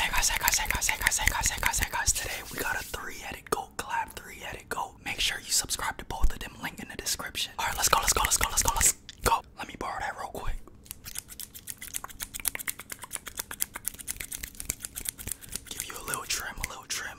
Hey guys, hey guys, hey guys, hey guys, hey guys, hey guys, hey guys. Today we got a three-headed goat collab, three-headed goat. Make sure you subscribe to both of them, link in the description. Alright, let's go, let's go, let's go, let's go, let's go. Let me borrow that real quick. Give you a little trim, a little trim.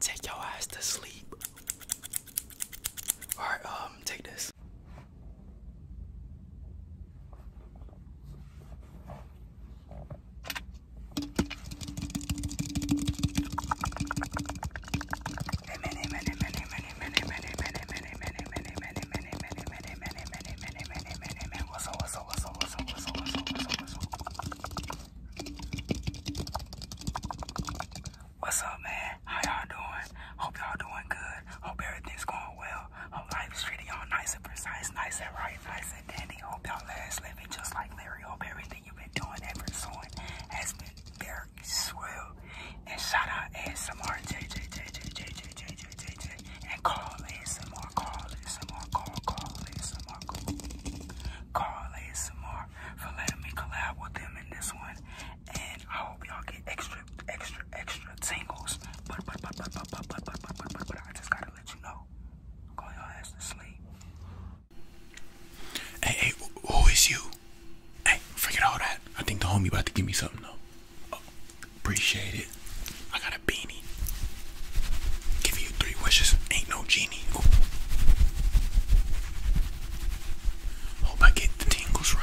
Take your ass to sleep. Alright, um, take this. What's up, what's up, what's up, whistle, whistle, whistle, whistle, whistle. What's up, man? How y'all doing? Hope y'all doing good. Hope everything's going well. Hope life is treating y'all nice and precise, nice and right, nice and dandy. Hope y'all last living just like Larry. Hope everything you've been doing and pursuing has been very swell. And shout out ASMR, JJ, JJ, JJ, JJ, JJ, and call ASMR more, some more, Carl, Carly, some more, Carly, some more for letting me collab with them in this one. And I hope y'all get extra, extra, extra tingles. But, but, but, but, but, but, but, but, but, I just gotta let you know. Call y'all ass to sleep. Hey, who is you? Hey, forget all that. I think the homie about to give me something though. appreciate it. I gotta Give you three wishes. Ain't no genie. Hope I get the tingles right.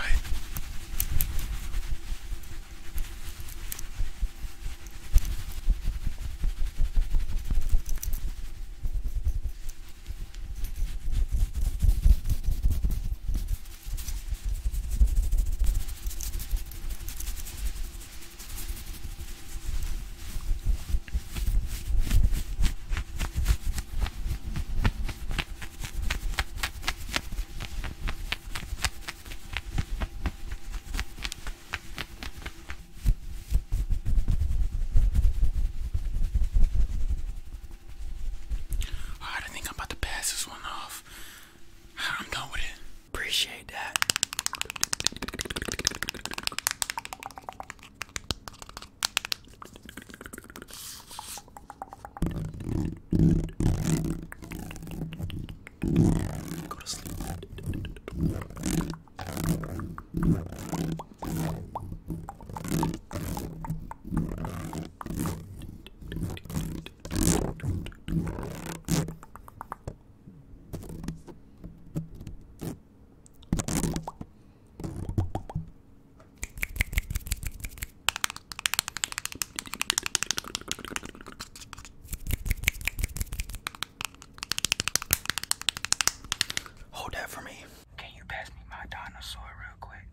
I think I'm about to pass this one off. I'm done with it. Appreciate that. Hold that for me. Can you pass me my dinosaur real quick?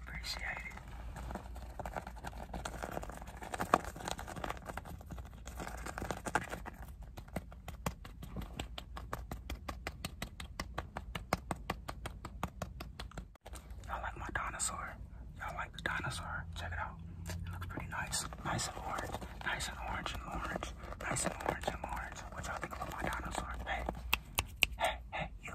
Appreciate it. Y'all like my dinosaur? Y'all like the dinosaur? Check it out. It looks pretty nice. Nice and orange. Nice and orange and orange. Nice and orange and orange. What y'all think about my dinosaur? Hey. Hey, hey, you.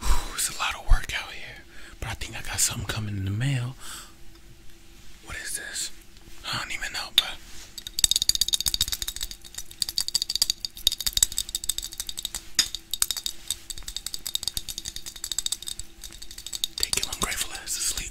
Whew, it's a lot of work out here, but I think I got something coming in the mail. What is this? I don't even know, but take your ungrateful ass to sleep.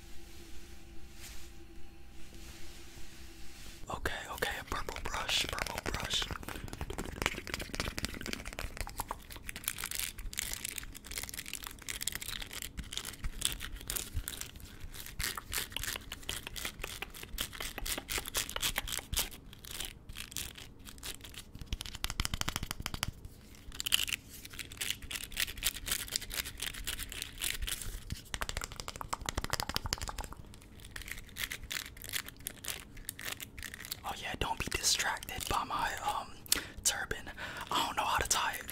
Okay, okay, a purple brush, purple brush. Oh yeah, don't be distracted by my um turban. I don't know how to tie it.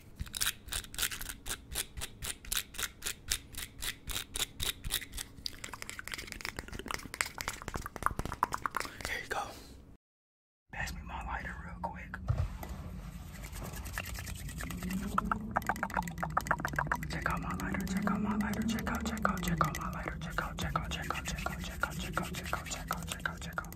Here you go. Pass me my lighter real quick. Check out my lighter, check out my lighter, check out, check out, check out my lighter, check out, check out, check out, check out, check out, check out, check out, check out, check out,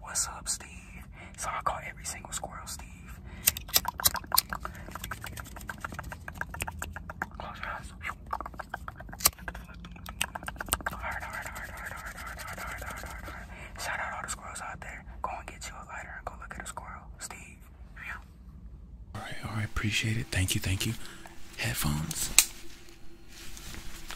What's up, Steve? So I call every single squirrel Steve. Shout out all the squirrels out there. Go and get you a lighter and go look at a squirrel. Steve. Alright, alright, appreciate it. Thank you, thank you. Headphones.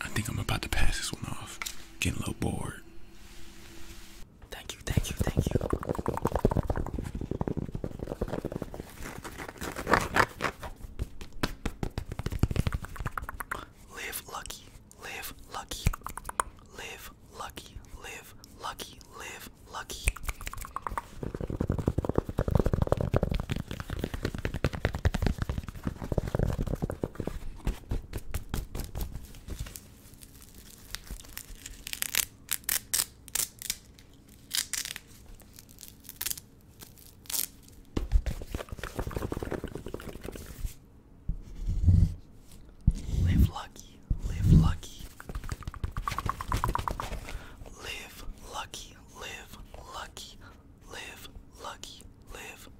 I think I'm about to pass this one off. Getting a little bored. Thank you, thank you, thank you. Live lucky, live lucky, live lucky, live lucky, live lucky. Live lucky, live lucky. Live lucky, live lucky, live lucky, live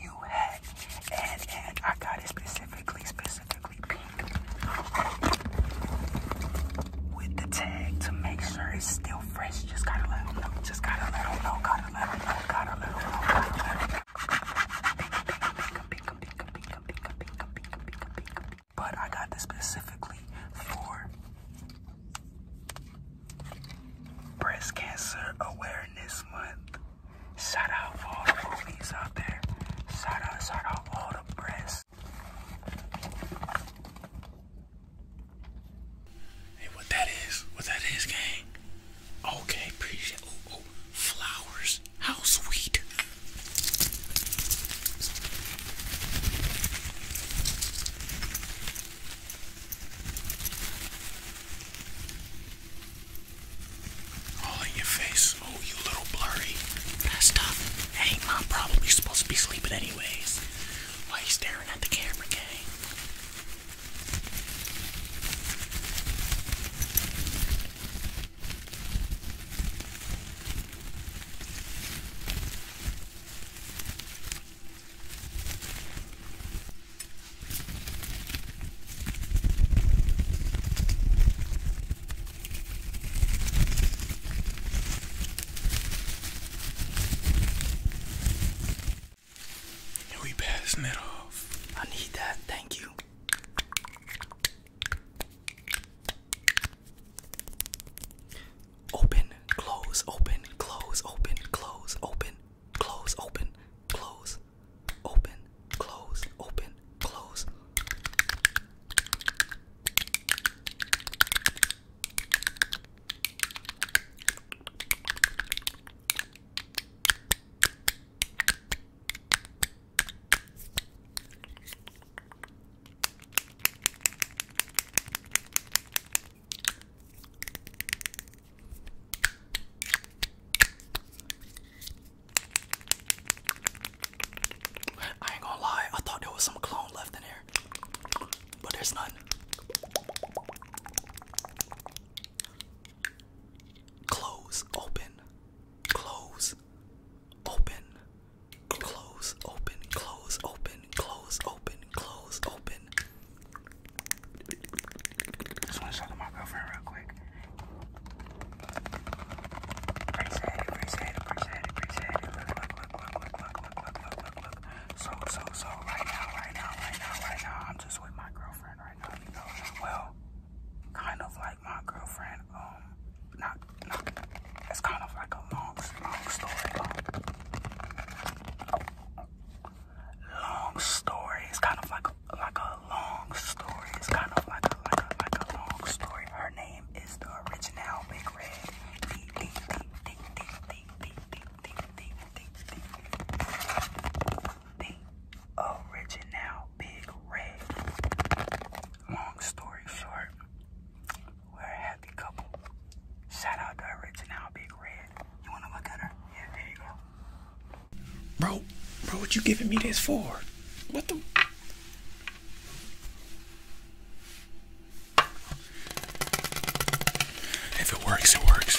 new hat, and and I got it specifically, specifically pink with the tag to make sure it's still fresh. Just gotta let them Just gotta let them know. Gotta let them know. Gotta let them know. Gotta let them know. But I got this specifically for breast cancer awareness month. Shout out for all the movies out there. Shout out, shout out all the brands. Hey, what that is, what that is, gang. Okay, appreciate oh, oh, flowers. How sweet. All in your face. Oh, you little blurry. That stuff. Hey, mom, probably supposed to be sleeping anyways. Why you staring at the camera, gang? we passing it off? I need that, thank you. Open, close, open, close, open, close, open close, open, close, open, close, open, close. I ain't gonna lie, I thought there was some clone left in here, but there's none. Close, open, close, open, close, open, close, open, close, open, close, open, just want to talk to my girlfriend real quick. Appreciate it, appreciate it, appreciate it, appreciate it. Look, look, look, look, look, look, look, look, look, So, so, so, right now, right now, right now, right now, I'm just with my girlfriend right now, Well, kind of like my girlfriend, um, not, not, it's kind of like a long, long story. Um, long story. It's kind of like like a long story. It's kind of like like a, long story. Her name is the original Big Red. Deep, deep, deep, deep, deep, deep, deep, deep, deep, The original Big Red. Long story short, we're a happy couple. Shout out to original Big Red. You wanna look at her? Yeah, there you go. Bro, bro, what you giving me this for? What the? If it works, it works.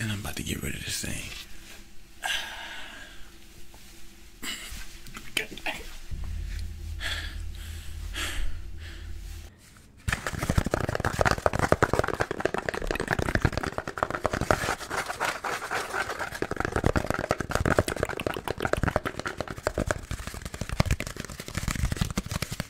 And I'm about to get rid of this thing.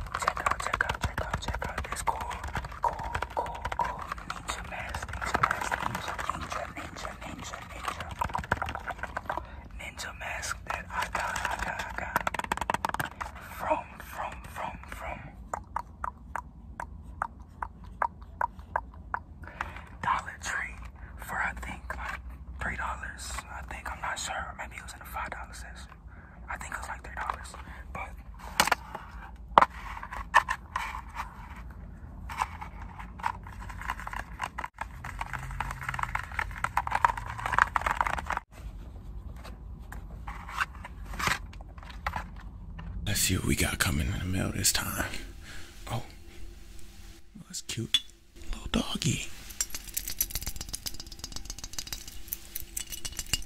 Check out, check out, check out, check out this cool, cool, cool, cool ninja mask, ninja mask, ninja, ninja, ninja, ninja, ninja, ninja mask that I got, I got, I got from, from, from, from Dollar Tree for I think like three dollars. I think I'm not sure. Maybe it was in a five dollar section. I think it like three dollars. Let's see what we got coming in the mail this time. Oh, that's cute. Little doggy.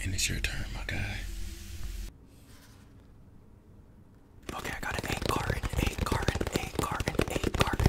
And it's your turn, my guy. Okay, I got an eight card, eight card, eight card, eight card.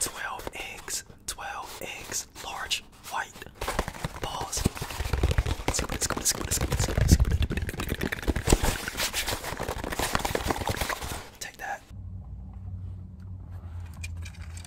Twelve eggs, twelve eggs, large white balls. Take that.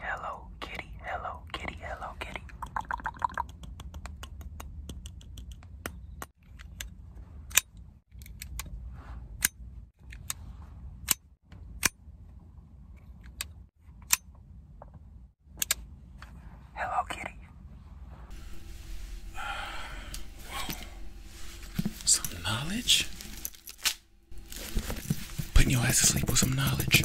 hello kitty, hello kitty, hello kitty. Hello kitty. Some knowledge? Putting your ass to sleep with some knowledge.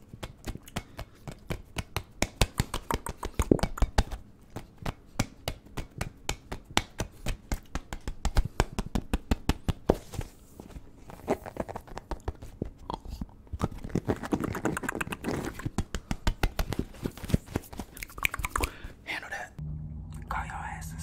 Handle that. Go your ass to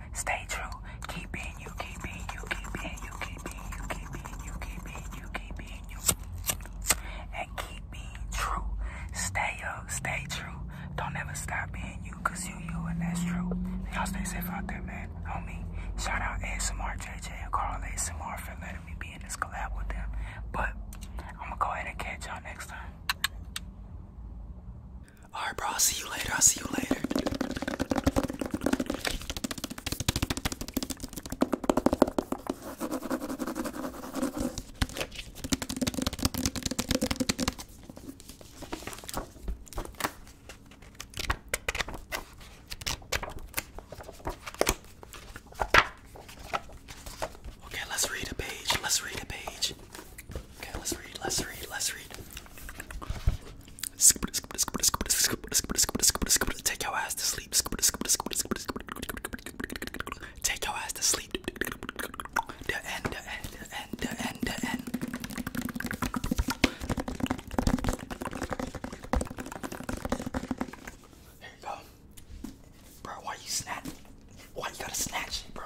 Stay true. Keep you. Keep you. Keep you. Keep you. Keep you. Keep you. Keep you. And keep true. Stay up. Stay true. Don't ever stop being you, you you and that's true. Y'all stay safe out there, man. Homie. Shout out ASMR and Carl ASMR for letting me be in this collab with them. But I'm gonna go ahead and catch y'all next time. All right, bro. I'll see you later. I'll see you later. Okay, let's read a page. Let's read a page. Okay, let's read, let's read, let's read. Take your ass to sleep. Take your ass to sleep. The end, the end, the end, the end, the end. Here you go. Bro, why you snatch? Why you gotta snatch it, bro?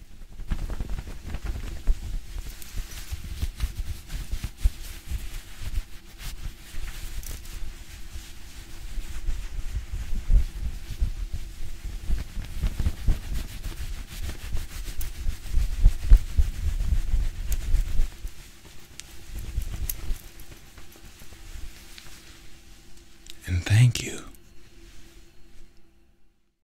And thank you.